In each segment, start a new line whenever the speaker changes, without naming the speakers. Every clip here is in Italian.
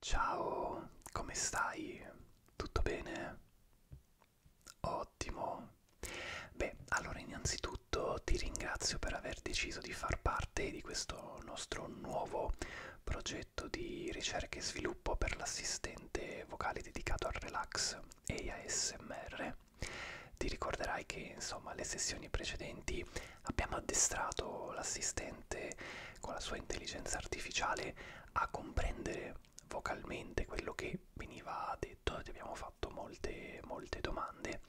Ciao, come stai? Tutto bene? Ottimo. Beh, allora innanzitutto ti ringrazio per aver deciso di far parte di questo nostro nuovo progetto di ricerca e sviluppo per l'assistente vocale dedicato al relax e ASMR. Ti ricorderai che insomma le sessioni precedenti Abbiamo addestrato l'assistente con la sua intelligenza artificiale a comprendere vocalmente quello che veniva detto, ti abbiamo fatto molte, molte domande.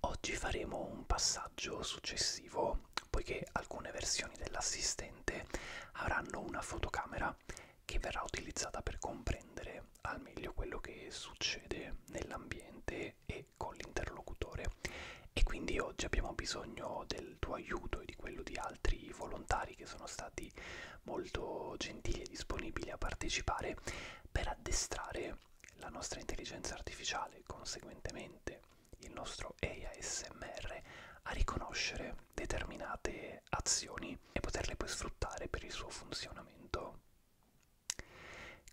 Oggi faremo un passaggio successivo, poiché alcune versioni dell'assistente avranno una fotocamera che verrà utilizzata per comprendere al meglio quello che succede nell'ambiente e con l'interlocutore e quindi oggi abbiamo bisogno del tuo aiuto e di quello di altri volontari che sono stati molto gentili e disponibili a partecipare per addestrare la nostra intelligenza artificiale, conseguentemente il nostro ASMR, a riconoscere determinate azioni e poterle poi sfruttare per il suo funzionamento.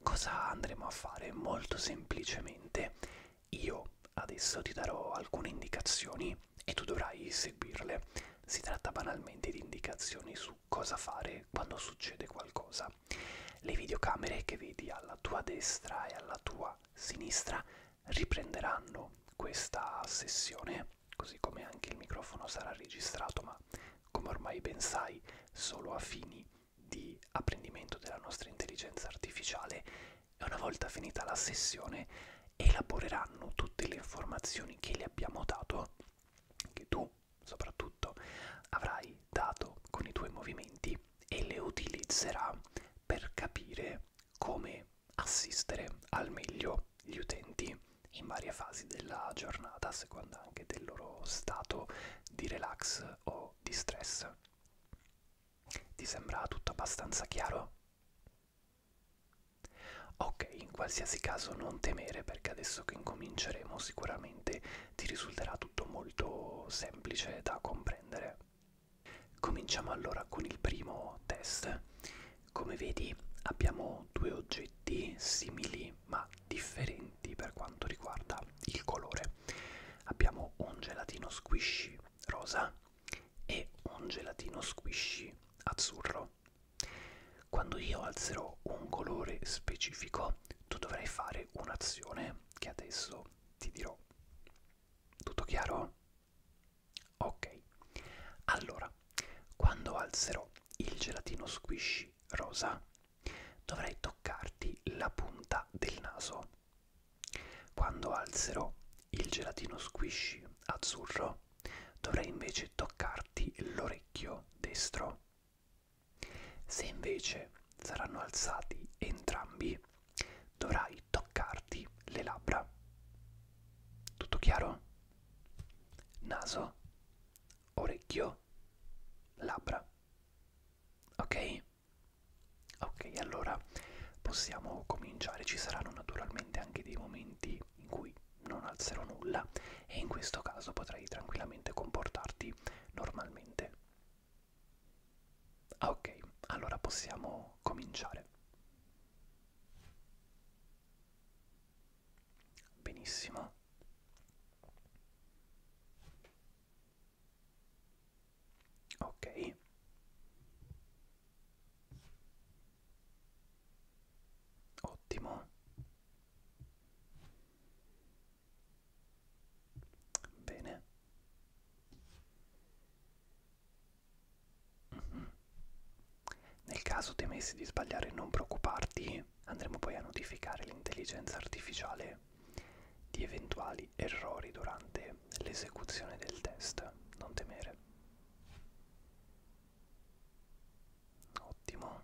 Cosa andremo a fare? Molto semplicemente io adesso ti darò alcune indicazioni e tu dovrai seguirle. Si tratta banalmente di indicazioni su cosa fare quando succede qualcosa. Le videocamere che vedi alla tua destra e alla tua sinistra riprenderanno questa sessione, così come anche il microfono sarà registrato, ma come ormai ben sai, solo a fini di apprendimento della nostra intelligenza artificiale e una volta finita la sessione elaboreranno tutte le informazioni che le abbiamo dato, che tu soprattutto avrai dato con i tuoi movimenti e le utilizzerà per capire come assistere al meglio gli utenti in varie fasi della giornata, a seconda anche del loro stato di relax o di stress. Ti sembra tutto abbastanza chiaro? Ok, in qualsiasi caso non temere perché adesso che incominceremo sicuramente ti risulterà tutto molto semplice da comprendere. Cominciamo allora con il primo test. Come vedi abbiamo due oggetti simili ma differenti elementi per quanto riguarda il colore. Abbiamo un gelatino squishy rosa e un gelatino squishy azzurro. Quando io alzerò un colore specifico, tu dovrai fare un'azione che adesso ti dirò. Tutto chiaro? Ok. Allora, quando alzerò il gelatino squishy rosa, dovrai toccarti la punta del naso. Quando alzerò il gelatino squishy azzurro, dovrai invece toccarti l'orecchio destro. Se invece saranno alzati entrambi, dovrai toccarti le labbra. Tutto chiaro? Naso, orecchio, labbra. Ok? Ok, allora possiamo cominciare. Ci saranno naturalmente anche dei momenti in cui non alzerò nulla e in questo caso potrai tranquillamente comportarti normalmente. Ok, allora possiamo cominciare. Benissimo ok ottimo bene mm -hmm. nel caso temessi di sbagliare non preoccuparti algoritmi andremo poi a notificare l'intelligenza artificiale di eventuali errori durante l'esecuzione del test, non temere. Ottimo.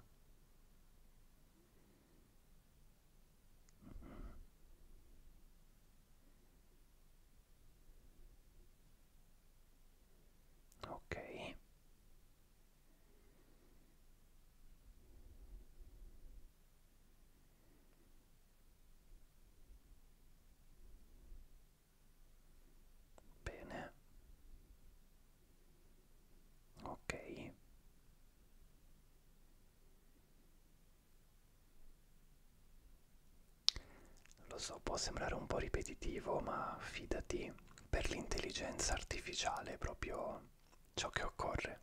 Ok. Bene. Ok. Lo so, può sembrare un po' ripetitivo, ma fidati, per l'intelligenza artificiale è proprio ciò che occorre.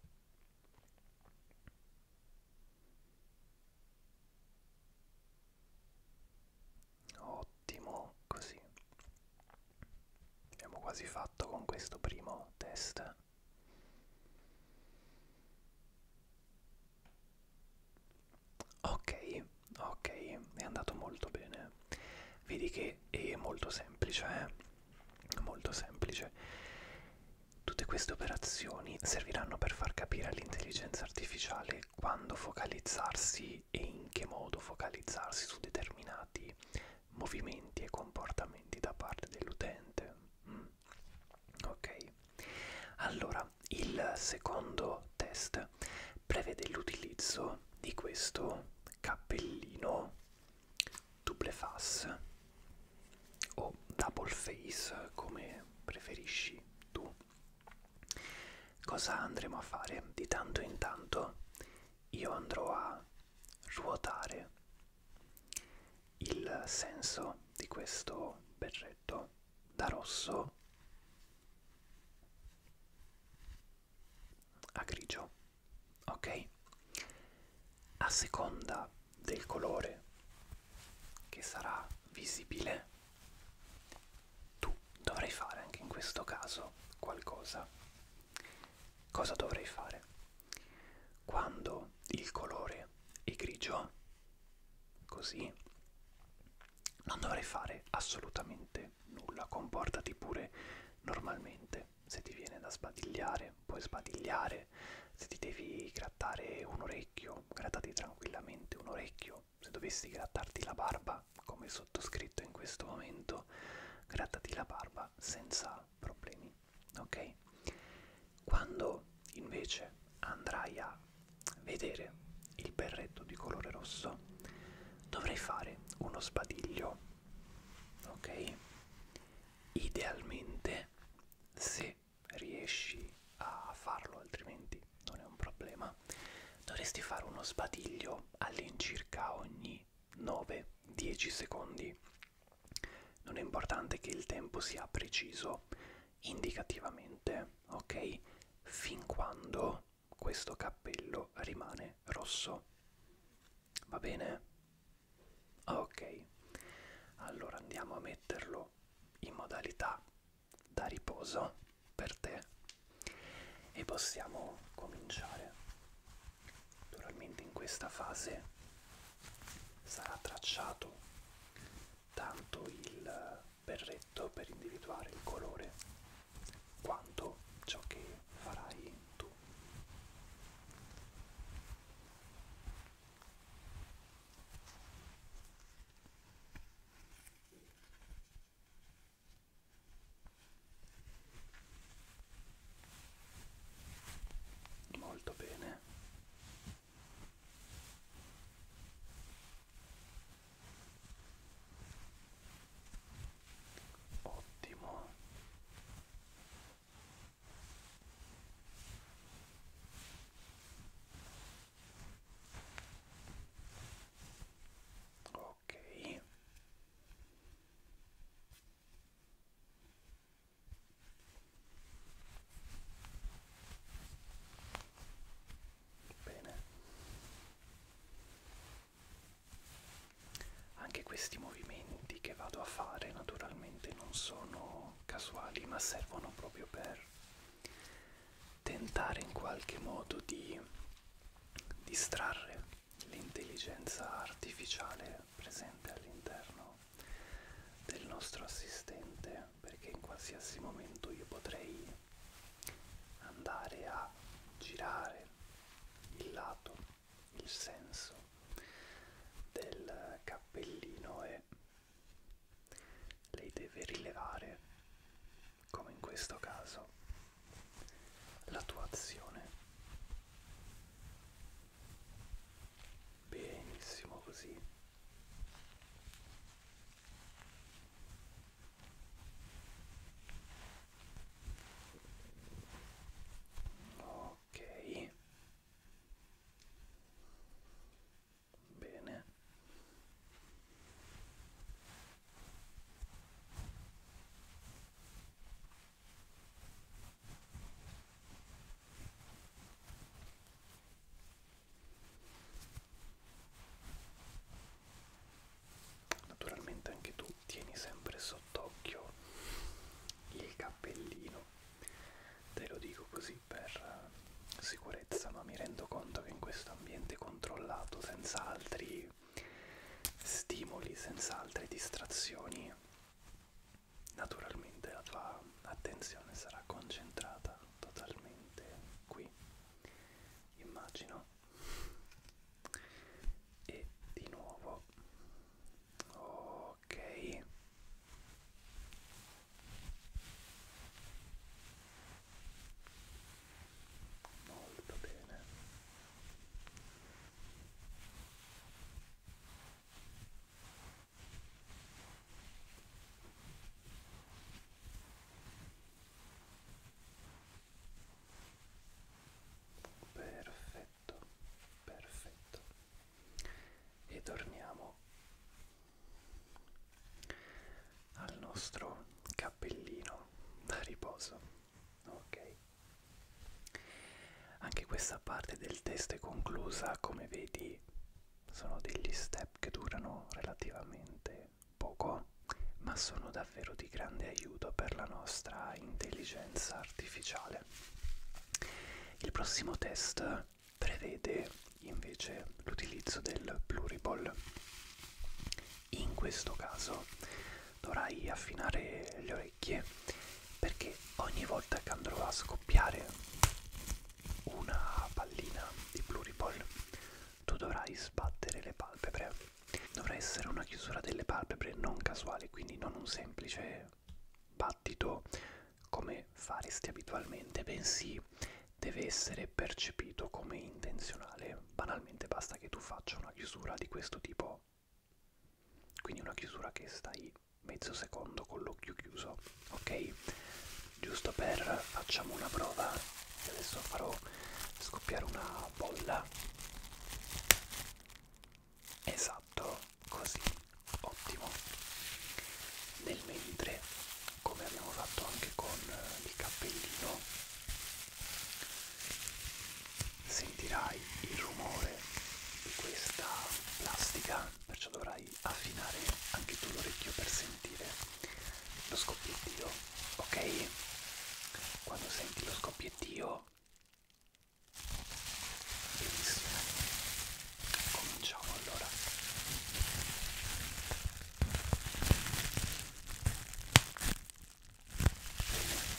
Ottimo, così. Abbiamo quasi fatto con questo primo test. Ok, ok, è andato molto bene. Vedi che è molto semplice, eh? molto semplice. Tutte queste operazioni serviranno per far capire all'intelligenza artificiale quando focalizzarsi e in che modo focalizzarsi su determinati movimenti e comportamenti da parte dell'utente. Mm. Ok, allora il secondo test prevede l'utilizzo di questo cappellino double face o double face come preferisci tu cosa andremo a fare di tanto in tanto io andrò a ruotare il senso di questo berretto da rosso a grigio ok a seconda del colore che sarà visibile tu dovrai fare anche in questo caso qualcosa cosa dovrei fare quando il colore è grigio così non dovrei fare assolutamente nulla comportati pure normalmente se ti viene da sbadigliare puoi sbadigliare, se ti devi grattare un orecchio grattati tranquillamente un orecchio, se dovessi grattarti la barba come sottoscritto in questo momento grattati la barba senza problemi, ok? Quando invece andrai a vedere il berretto di colore rosso dovrai fare uno sbadiglio ok idealmente se riesci a farlo altrimenti non è un problema dovresti fare uno sbadiglio all'incirca ogni 9-10 secondi non è importante che il tempo sia preciso indicativamente ok fin quando questo cappello rimane rosso. Va bene? Ok. Allora andiamo a metterlo in modalità da riposo per te e possiamo cominciare. Naturalmente in questa fase sarà tracciato tanto il berretto per individuare il colore quanto ciò che farai tu. Molto bene ottimo ok bene anche questi movimenti che vado a fare naturalmente non sono casuali, ma servono proprio per tentare in qualche modo di distrarre l'intelligenza artificiale presente all'interno del nostro assistente perché in qualsiasi momento io potrei andare a girare il lato, il senso del cappellino e lei deve rilevare, come in questo caso, la tua azione. Benissimo così ok bene Naturalmente anche tu tieni sempre sott'occhio il cappellino, te lo dico così per eh, sicurezza, ma mi rendo conto che in questo ambiente controllato, senza altri stimoli, senza altre distrazioni, naturalmente la tua attenzione sarà concentrata totalmente qui. Immagino e di nuovo ok molto bene perfetto perfetto e torniamo al nostro cappellino da riposo ok anche questa parte del test è conclusa come vedi sono degli step che durano relativamente poco, ma sono davvero di grande aiuto per la nostra intelligenza artificiale. Il prossimo test prevede invece l'utilizzo del pluriball. In questo caso dovrai affinare le orecchie perché ogni volta che andrò a scoppiare una pallina di pluriball tu dovrai sbattere le palpebre. Dovrà essere una chiusura delle palpebre non casuale, quindi non un semplice battito come faresti abitualmente, bensì deve essere percepito come intenzionale. Banalmente basta che tu faccia una chiusura di questo tipo, quindi una chiusura che stai mezzo secondo con l'occhio chiuso, ok? giusto per facciamo una prova e adesso farò scoppiare una bolla esatto così ottimo nel mentre come abbiamo fatto anche con il cappellino sentirai il rumore di questa plastica perciò dovrai affinare anche tu l'orecchio per sentire sentire lo scoppiettio, ok? Quando senti lo scoppiettio, benissimo. Cominciamo allora. Bene.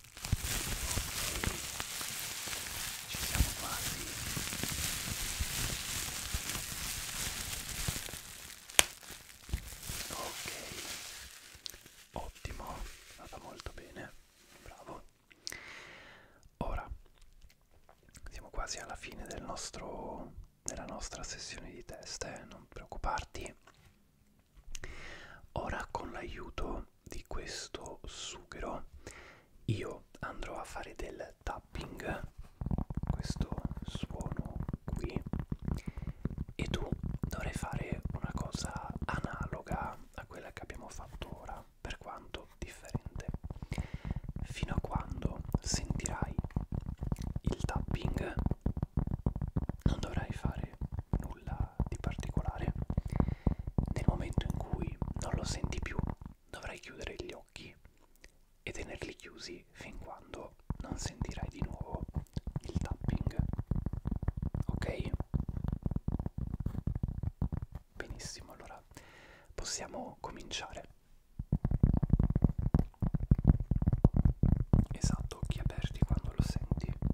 Ci siamo quasi. Ok, ottimo, è andata molto bene, bravo. Ora siamo quasi alla fine del nostro, della nostra sessione di test, eh? non preoccuparti Ora con l'aiuto di questo sughero io andrò a fare del tapping, questo suono qui, e tu dovrai fare una cosa analoga a quella che abbiamo fatto ora, per quanto differente, fino a quando sentirai il tapping non dovrai fare nulla di particolare nel momento in cui non lo senti più dovrai chiudere gli occhi e tenerli chiusi fin quando non sentirai di nuovo il tapping ok benissimo allora possiamo cominciare esatto ad occhi aperti quando lo senti ottimo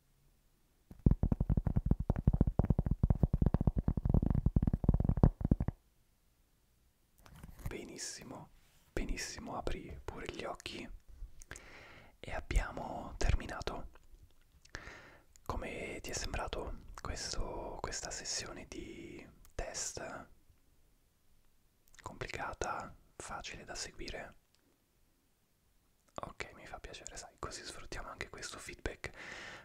Benissimo, benissimo, apri pure gli occhi e abbiamo terminato. Come ti è sembrato questo, questa sessione di test? Complicata, facile da seguire? Ok, mi fa piacere, sai, così sfruttiamo anche questo feedback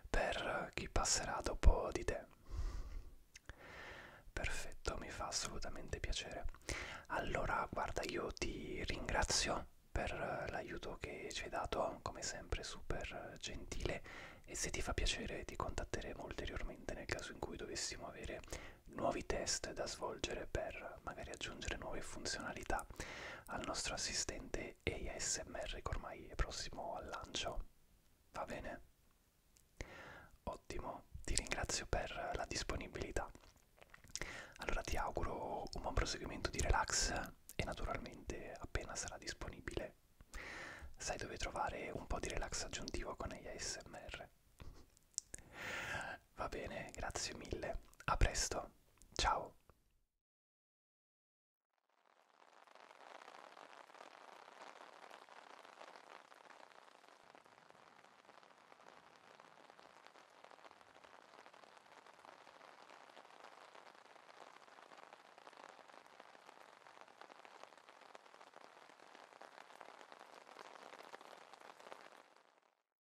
per chi passerà dopo di te. Perfetto, mi fa assolutamente piacere. Allora, guarda, io ti ringrazio per l'aiuto che ci hai dato, come sempre super gentile e se ti fa piacere ti contatteremo ulteriormente nel caso in cui dovessimo avere nuovi test da svolgere per magari aggiungere nuove funzionalità al nostro assistente ASMR che ormai è prossimo al lancio. Va bene? Ottimo, ti ringrazio per la disponibilità. Allora ti auguro un buon proseguimento di relax e naturalmente appena sarà disponibile sai dove trovare un po' di relax aggiuntivo con ASMR. Va bene, grazie mille. A presto. Ciao.